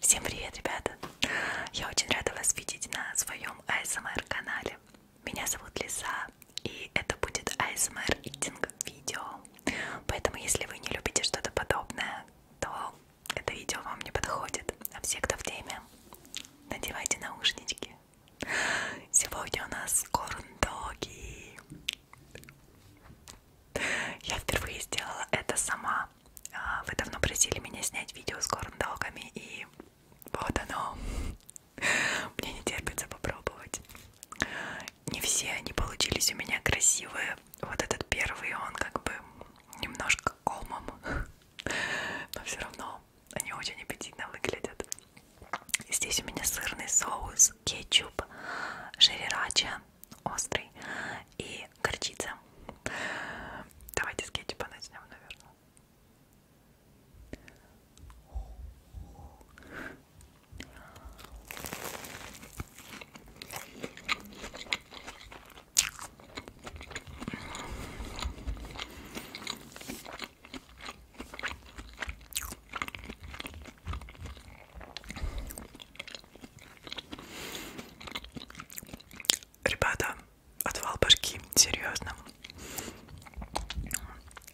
Всем привет, ребята! Я очень рада вас видеть на своем ASMR-канале. Меня зовут Лиса, и это будет ASMR-идинг-видео. Поэтому, если вы не любите что-то подобное, то это видео вам не подходит. А все, кто в теме, надевайте наушнички. Сегодня у нас корндоги. Я впервые сделала это сама. А, вы давно просили меня снять видео с корндогами, и вот оно. Мне не терпится попробовать. Не все они получились у меня красивые. Вот этот первый, он как бы немножко комом но все равно они очень аппетитно выглядят. Здесь у меня сырный соус, кетчуп, жирирача, острый и горчица. Давайте с кетчупа начнем, наверное. Ребята, отвал башки, серьезно.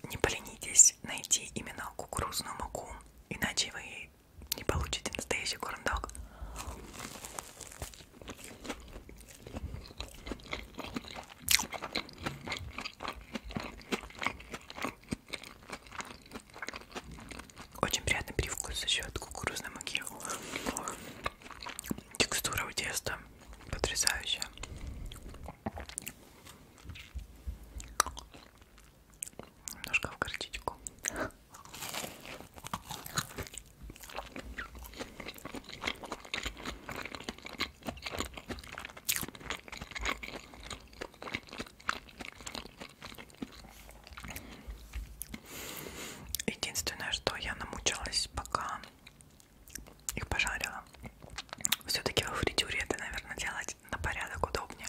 Не поленитесь найти именно кукурузную муку, иначе вы не получите настоящий корндог. Очень приятный привкус за счет кукурузной муки. Текстура у теста потрясающая. Немножко в горчичку. Единственное, что я намучилась, пока их пожарила. Все-таки во фритюре это, наверное, делать на порядок удобнее.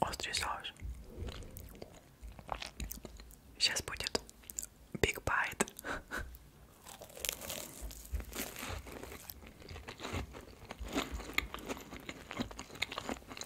Острый соус. Сейчас будет big bite.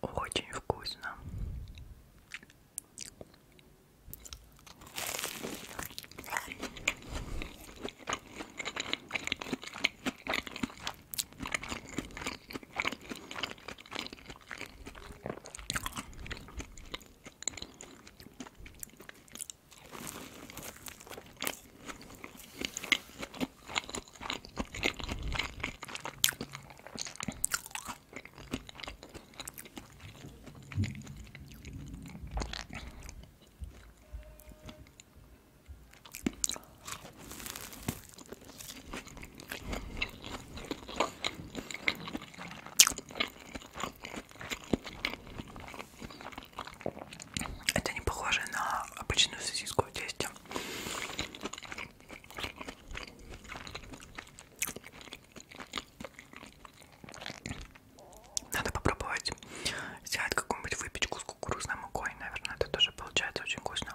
Очень вкусно. Это не похоже на обычную сосиску в тесте. Надо попробовать сделать какую-нибудь выпечку с кукурузной мукой, наверное, это тоже получается очень вкусно.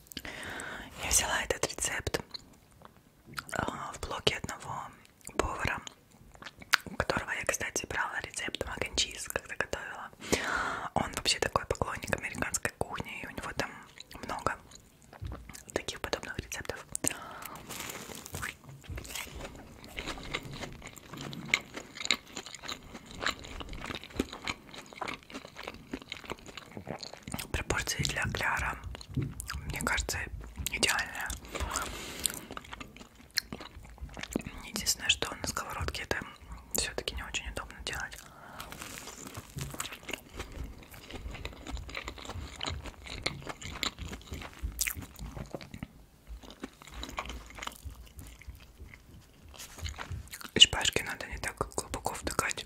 Я взяла этот рецепт а, в блоге одного повара, у которого я, кстати, брала рецепт маканчиз, когда готовила. Он вообще такой поклонник американской кухни, и у него там много таких подобных рецептов пропорции для кляра мне кажется идеальная единственное что на сковородке это все-таки не очень удобно делать из пашки надо не так глубоко вдыхать.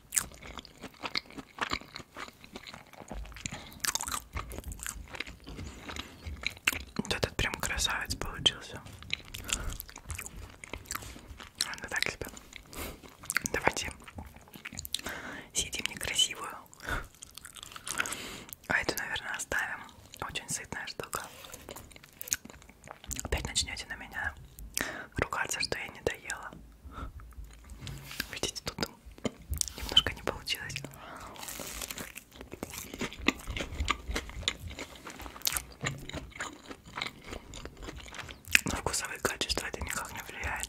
Вот этот прям красавец получился. Ладно, так себе. Давайте съедим некрасивую. А эту, наверное, оставим. Очень сытная штука опять начнете на меня ругаться, что я не доела. Видите, тут немножко не получилось. На вкусовые качества это никак не влияет.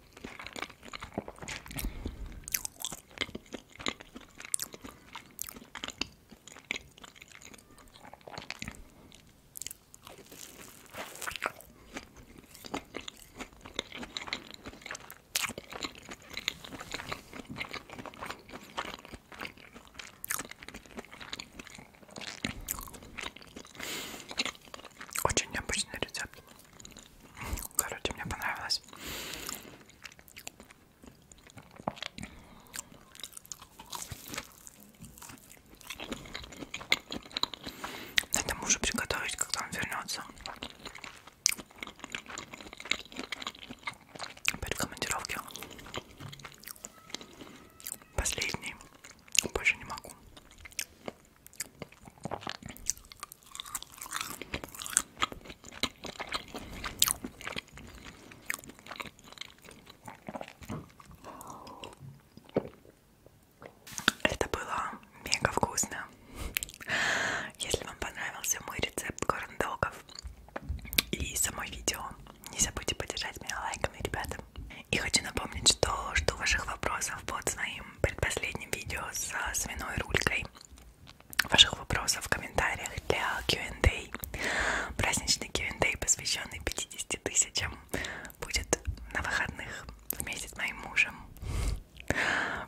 Очень необычный рецепт. Короче, мне понравилось. Надо мужу приготовить, когда он вернется. Перед командировки. Последний. Больше не могу. Это было мега вкусно. Если вам понравился мой рецепт корндогов и само видео, не забудьте поддержать меня лайками, ребята. И хочу напомнить, что жду ваших вопросов под своим предпоследнем видео с свиной рулькой ваших вопросов в комментариях для Q&A. Праздничный Q&A, посвященный 50 тысячам, будет на выходных вместе с моим мужем.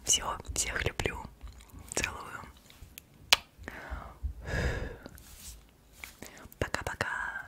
Все, всех люблю, целую. Пока-пока.